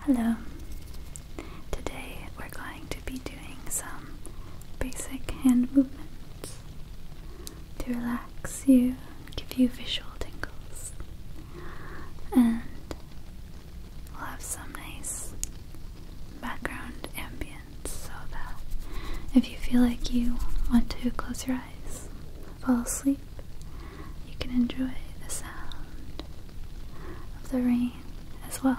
Hello. Today we're going to be doing some basic hand movements to relax you, give you visual tingles, and we'll have some nice background ambience so that if you feel like you want to close your eyes, fall asleep you can enjoy the sound of the rain as well.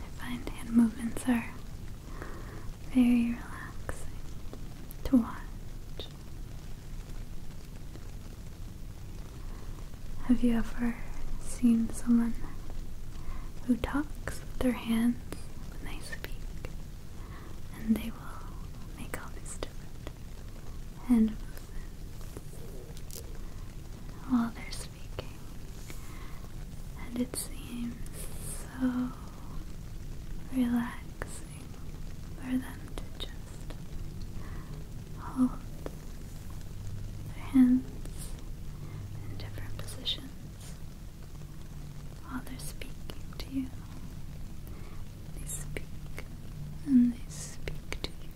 I find hand movements are very relaxing to watch. Have you ever seen someone who talks with their hands when they speak? And they will make all these different hand movements while they're speaking. And it seems so relaxing for them to just hold their hands in different positions while they to you. They speak and they speak to you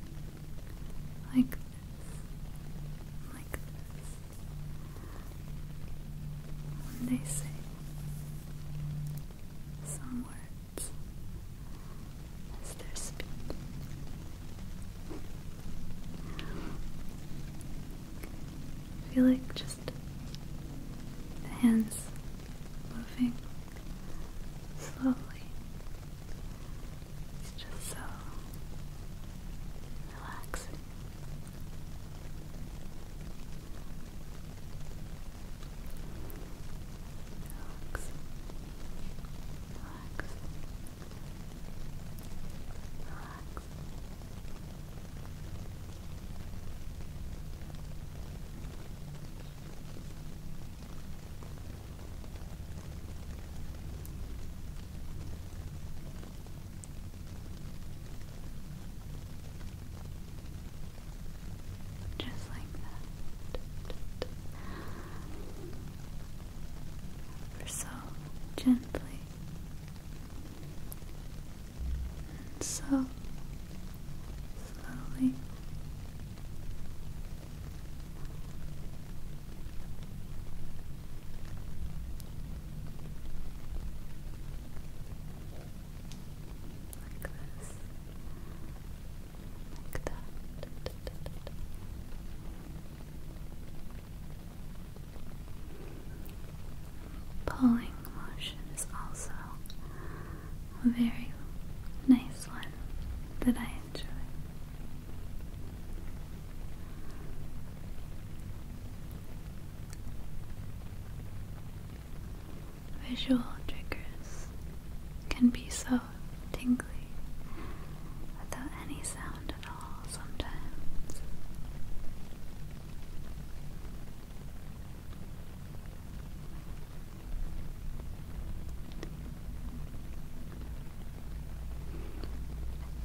like this, like this. When they say some words as their feel like just the hands moving slowly. just so relaxing relax, relax, Just like that so gently and so slowly. Like this. Pulling motion is also a very nice one that I enjoy. Visual triggers can be so so tingly without any sound at all sometimes.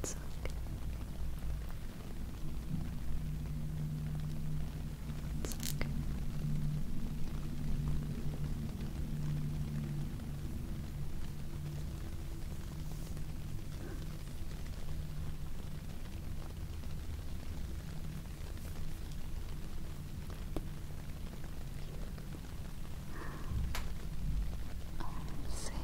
It's okay. It's okay. Oh, see.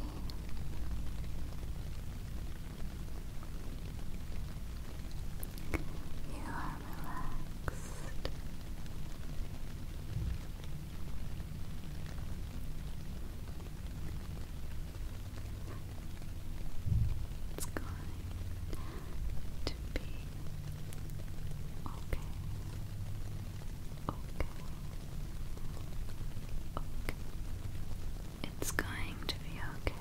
You relaxed. It's going to be okay. Okay. Okay. It's going to be okay.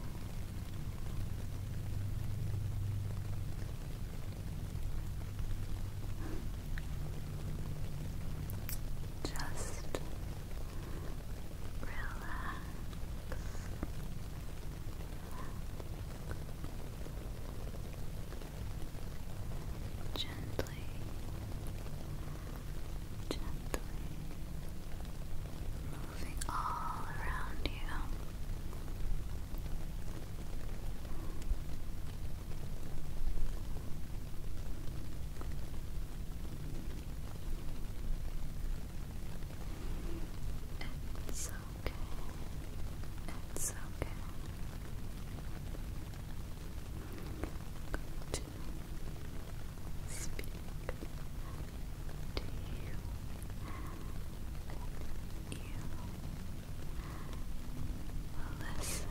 Just relax. Gently. Gently moving all around you. It's okay. It's okay. i to speak to you. You Listen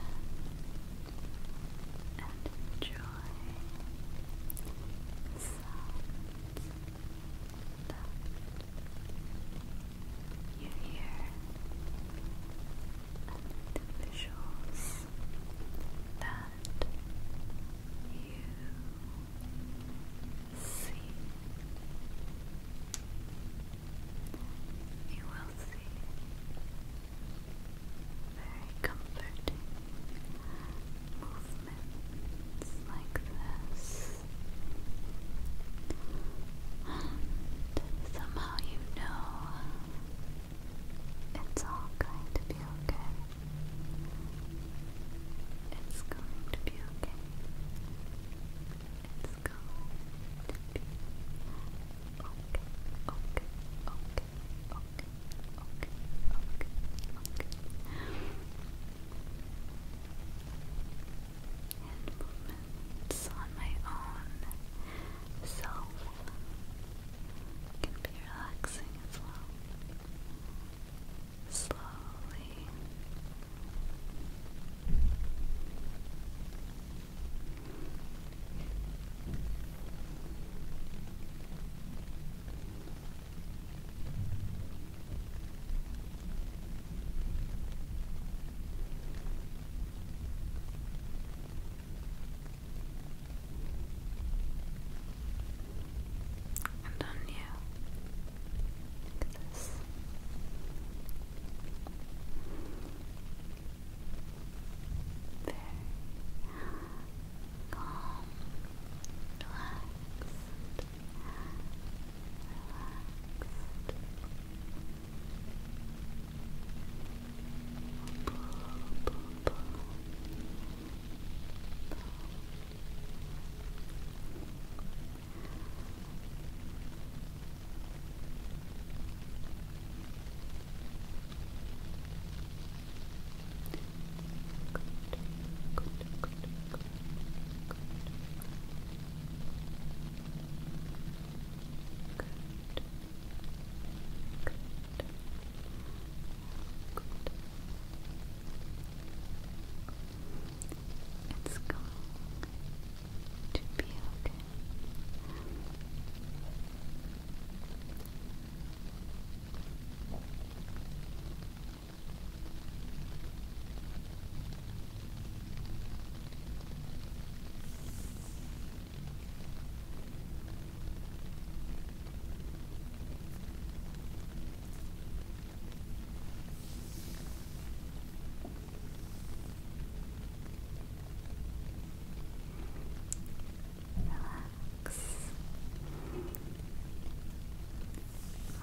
and enjoy sounds that you hear and visuals that you see. You will see. Very comforting movements like this. And somehow you know it's all going to be okay. It's going to be okay. It's going to okay, okay, okay, okay, okay, okay, okay. And movements on my own self can be relaxing as well. Slowly and on you. Look at this. Very calm, relaxed, relaxed. Pull, pull, Good, good, good, good. Good. Good. Good. It's going to be okay. Relax.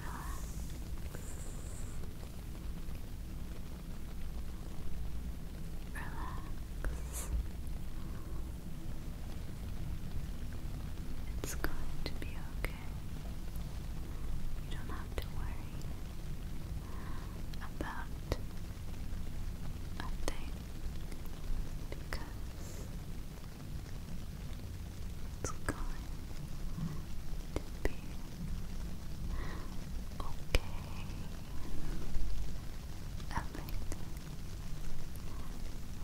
Relax. It's going to be okay. You don't have to worry about a thing because it's going to be okay. Everything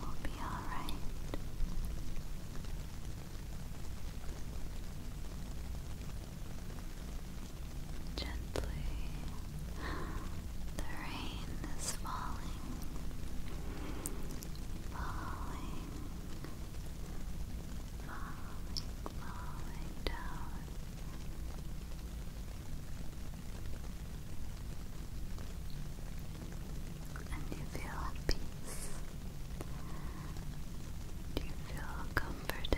will be alright. Gently, the rain is falling, falling, falling, falling down. And you feel peace. Do you feel comforted?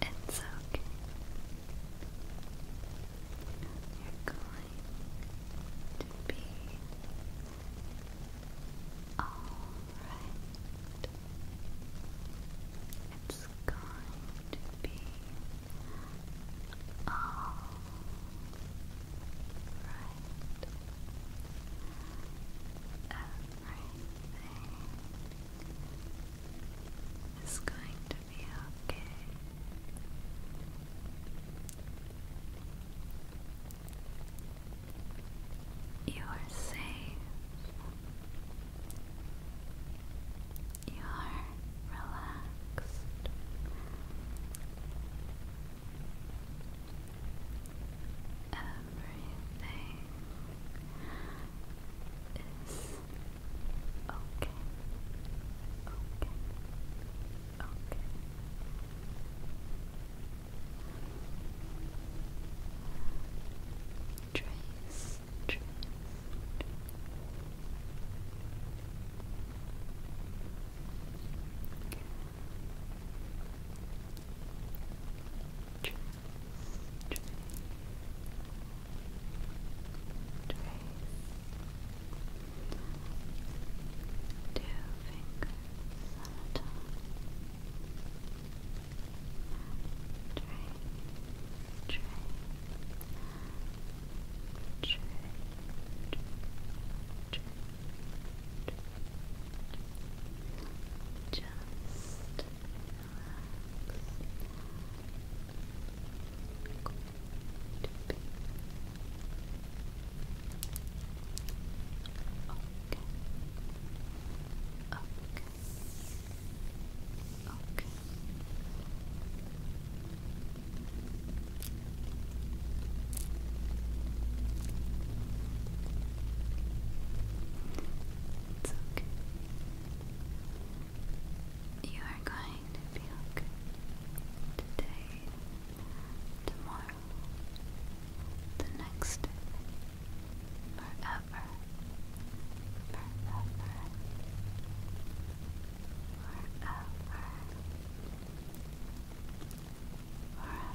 It's okay. You're going to be all right. It's going to be all right. Everything is going to be okay. You are safe. You are relaxed. Everything is okay. Okay. Okay. Trace, trace, trace, trace. Two fingers Tray, tray, Just relax. Okay. Okay. Okay. okay. You are going to feel good today, tomorrow, the next Forever, forever, forever, forever, forever. Forever.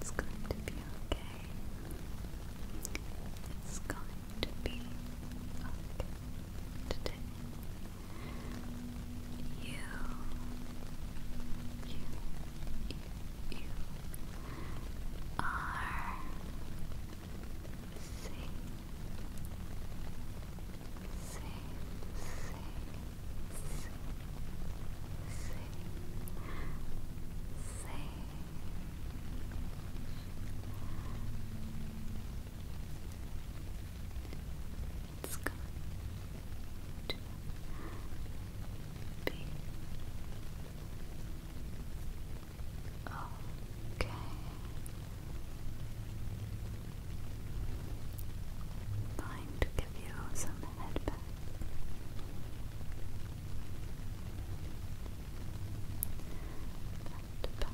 It's going to be okay. It's going to be okay You, you, you, you are safe. It's going Okay. Time to give you some head back. Good. Good.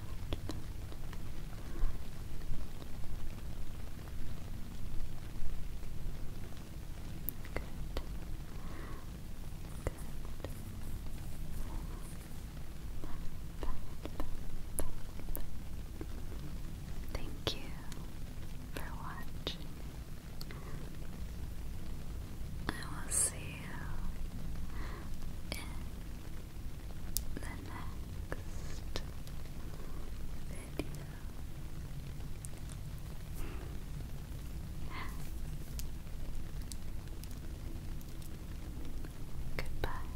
Thank you for watching. I will see you in the next video. Goodbye.